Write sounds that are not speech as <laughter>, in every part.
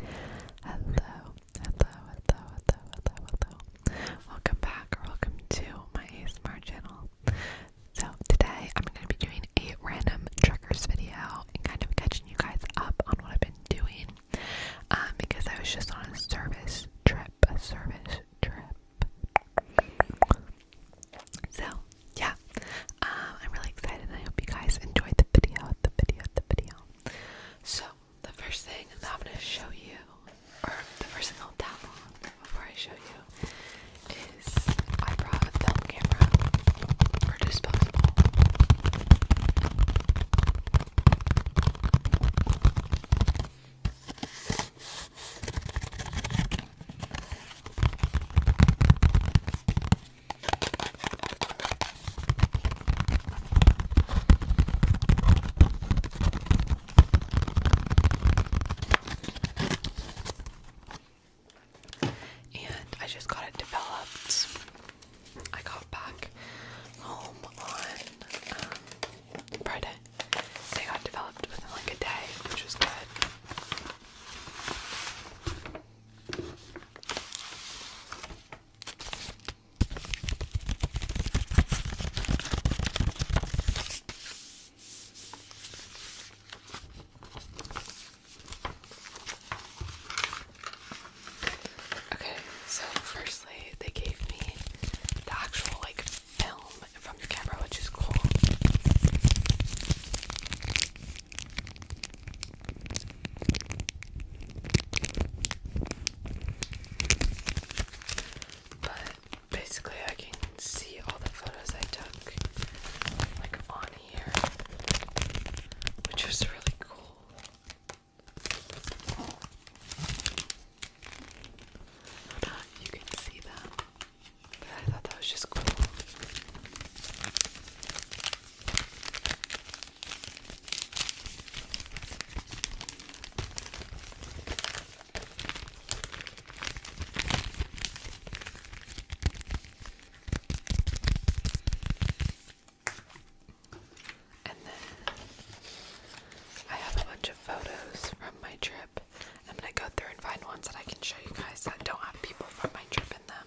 Hello, hello, hello, hello, hello, hello. Welcome back welcome to my ASMR channel. So today I'm going to be doing a random triggers video and kind of catching you guys up on what I've been doing um, because I was just on a service trip, a service trip. So yeah, um, I'm really excited and I hope you guys enjoyed the video, the video, the video. So, the first thing that I'm going to show you, or the first thing I'll download before I show you, is I brought a film camera, and I just got it developed. I got back home on um, Friday. They got developed within like a day, which was good. Okay, so firstly, they gave me the actual like film from your camera, which is cool. But basically, I can see all the photos I took like on here, which was really cool. you can see them, but I thought that was just cool. And then I have a bunch of photos from my trip. I'm going to go through and find ones that I can show you guys that don't have people from my trip in them.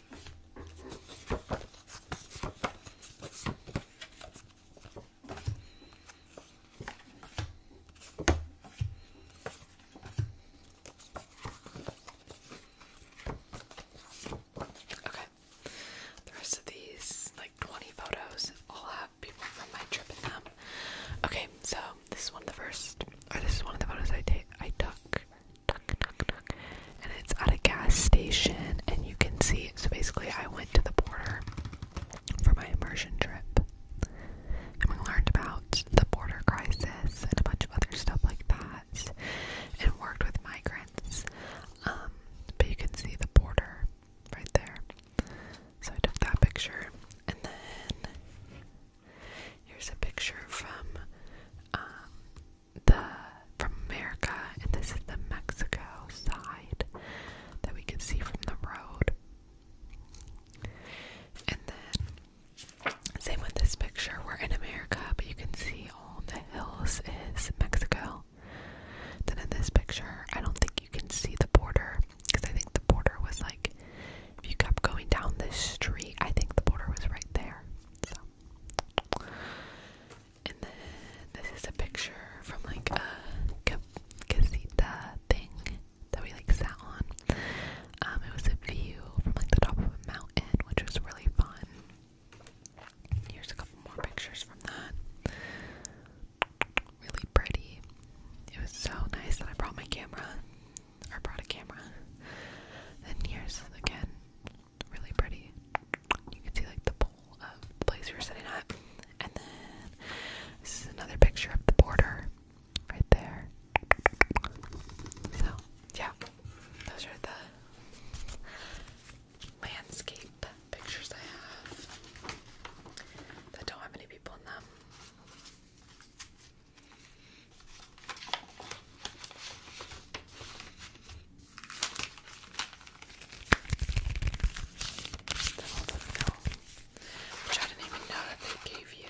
Okay. The rest of these, like 20 photos, all have people from my trip in them. Okay, so this is one of the first, or this is one of the photos I take I took and it's at a gas station and you can see so basically I went to the border for my immersion trip and we learned about the border crisis and a bunch of other stuff like that and worked with migrants um, but you can see the border right there so I took that picture and then here's a picture from um, the from America, and this is the Mexico side that we can see from the road. And then, same with this picture, we're in America, but you can see all the hills is Mexico. Then in this picture, I don't think you can see the border because I think the border was like, if you kept going down this street, I think the border was right there. And then this is a picture from like a casita thing that we like sat on. Um, it was a view from like the top of a mountain, which was really fun. Here's a couple more pictures from that. Really pretty. It was so nice that I brought my camera, or brought a camera. Then here's again really pretty. You can see like the pole of the place we are sitting at. And then this is another picture of the border right there. So yeah, those are the landscape pictures I have that don't have many people in them i didn't even know that they gave you.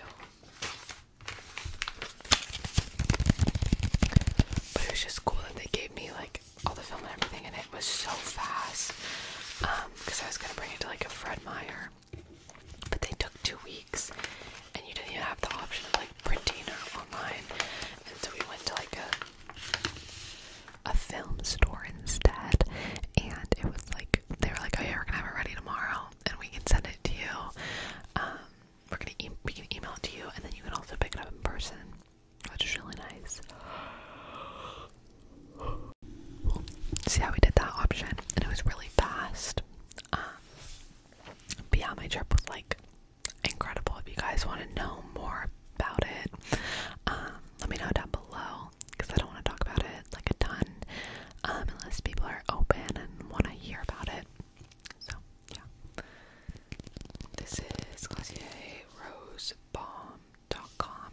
But it was just cool that they gave me like all the film and everything, and it was so fast. Um, because I was gonna bring it to like a Fred Meyer, but they took two weeks, and you didn't even have the option of printing online, and so we went to like a a film store instead, and it was like they were like, "Oh yeah, we're gonna have it ready tomorrow, and we can send it to you. Um, we're gonna we can email it to you, and then you can also pick it up in person, which is really nice." See how we did that option, and it was really fast. Um, my trip was like incredible. If you guys want to know more about it, um, let me know down below because I don't want to talk about it like a ton um, unless people are open and want to hear about it. So, yeah. This is Glossier Rose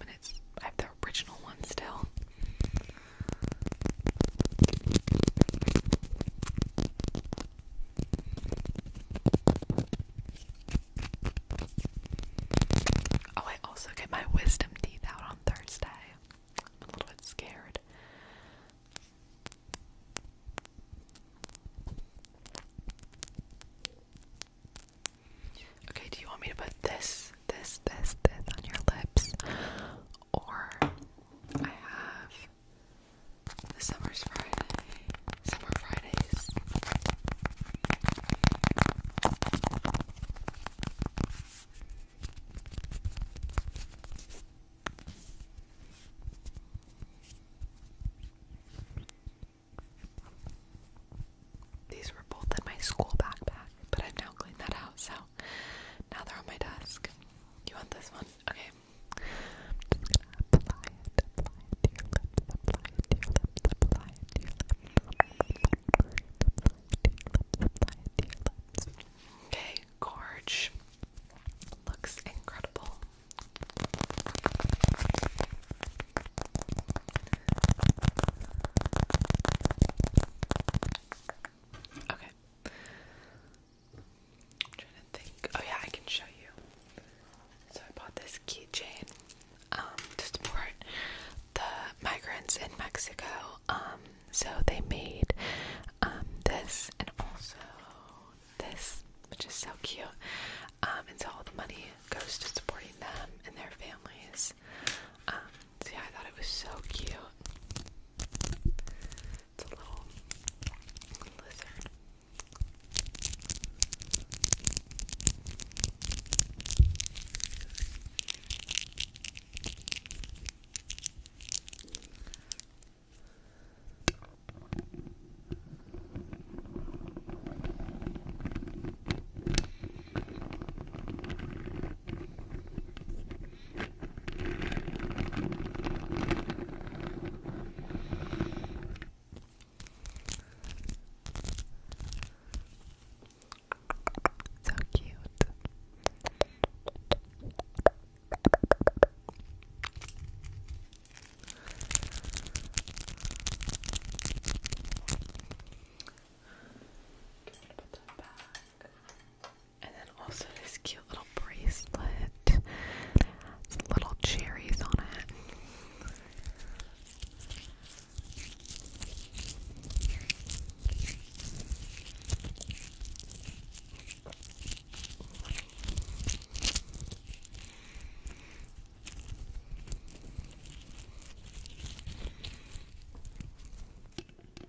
and it's I have the original one still. Oh, I also get my wisdom teeth out on Thursday. I'm a little bit scared. Okay, do you want me to put this, this, this, this on your lips? Or I have the summer's Friday. Summer Fridays. These were both in my school backpack, but I've now cleaned that out, so now they're on my desk. You want this one? Okay. Okay, gorge. Looks incredible. Okay i Oh yeah, I can show you. So I bought this keychain um, to support the migrants in Mexico. Um, so they made um, this and also this, which is so cute. and so all the money goes to supporting them and their families. Um, I thought it was so cute. It's a little lizard. So cute. Put that back. And then also this cute little bracelet. Some little cherries on it.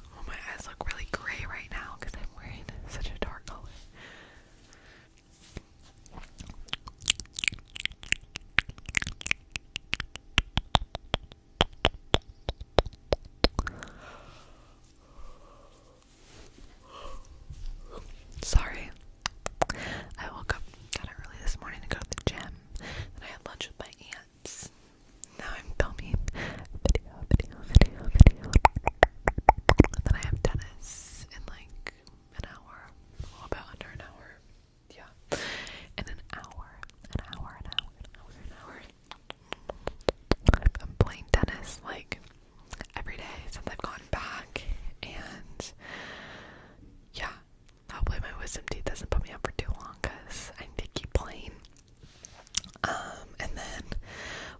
Oh, my eyes look really gray right now because I'm wearing such a dark color. Sorry. I woke up kind of early this morning to go to the gym. Then I had lunch with my aunt now I'm filming video, video, video, video. then I have tennis in like an hour. about under an hour. Yeah. In an hour. An hour, an hour, an hour, an hour. I'm playing Dennis like every day since I've gone back, and yeah, hopefully my wisdom teeth doesn't put me up for too long because I need to keep playing. Um, and then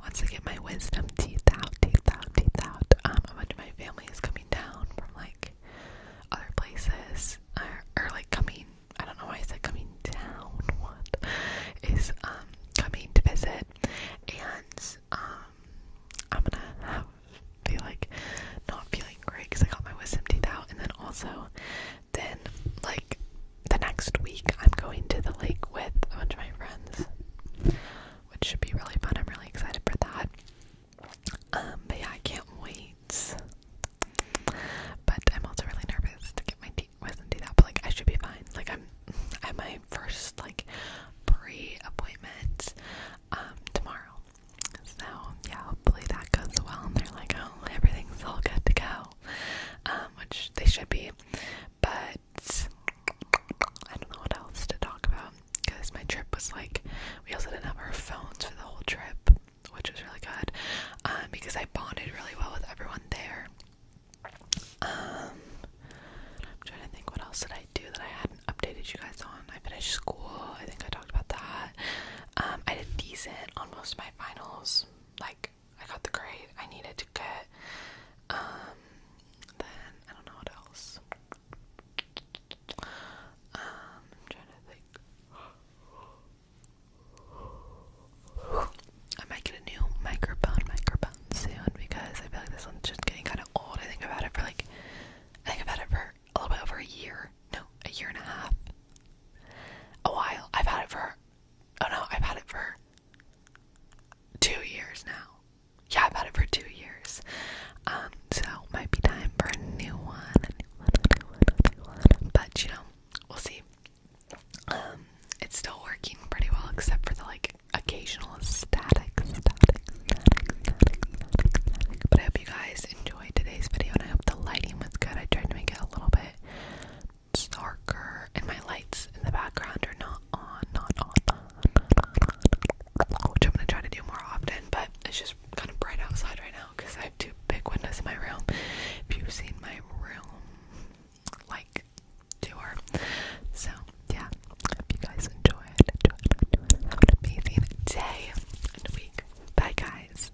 once I get my wisdom teeth out, teeth out, teeth out, um, a bunch of my family is coming down from like other places, or, or like coming, I don't know why I said coming down, <laughs> what is, um, coming to visit, and, um, I'm gonna have, be like, not feeling great because I got my wisdom teeth out, and then also then, like, the next week, I'm going to the lake with a bunch of my friends, which should be really fun. I'm really excited for that. Um, but yeah, I can't wait. But I'm also really nervous to get my teeth wasn't do that. But like, I should be fine. Like, I'm at my first like pre-appointment um, tomorrow. So yeah, hopefully that goes well. And they're like, oh, everything's all good to go. Um, which they should be. But I don't know what else to talk about because my trip was like we also didn't have our phones for the whole trip, which was really good um, because I bonded really well with everyone there. Um, I'm trying to think what else did I do that I hadn't updated you guys on. I finished school. I think I talked about that. I did decent on most of my finals. Like I got the grade I needed to get. Um, then I don't know what else. Um, I'm trying to think. I might get a new microphone, microphone soon because I feel like this one's just getting kind of old. I think I've had it for like, I think I've had it for a little bit over a year. No, a year and a half. A while. I've had it for Oh no, I've had it for two years now. Yeah, I've had it for two years. Um, so might be time for a new one. But you know, we'll see. Um, it's still working pretty well except for the like occasional static, static, static, static. But I hope you guys enjoyed today's video and I hope the lighting was good. I tried to make it a little bit it's darker and my lights in the background are not on, not on, which I'm gonna try to do more often, but it's just kind of bright outside right now because I have two big windows in my room. If you've seen my room, like, tour. So, yeah, hope you guys enjoy it. Enjoy it. Have an day and week. Bye, guys.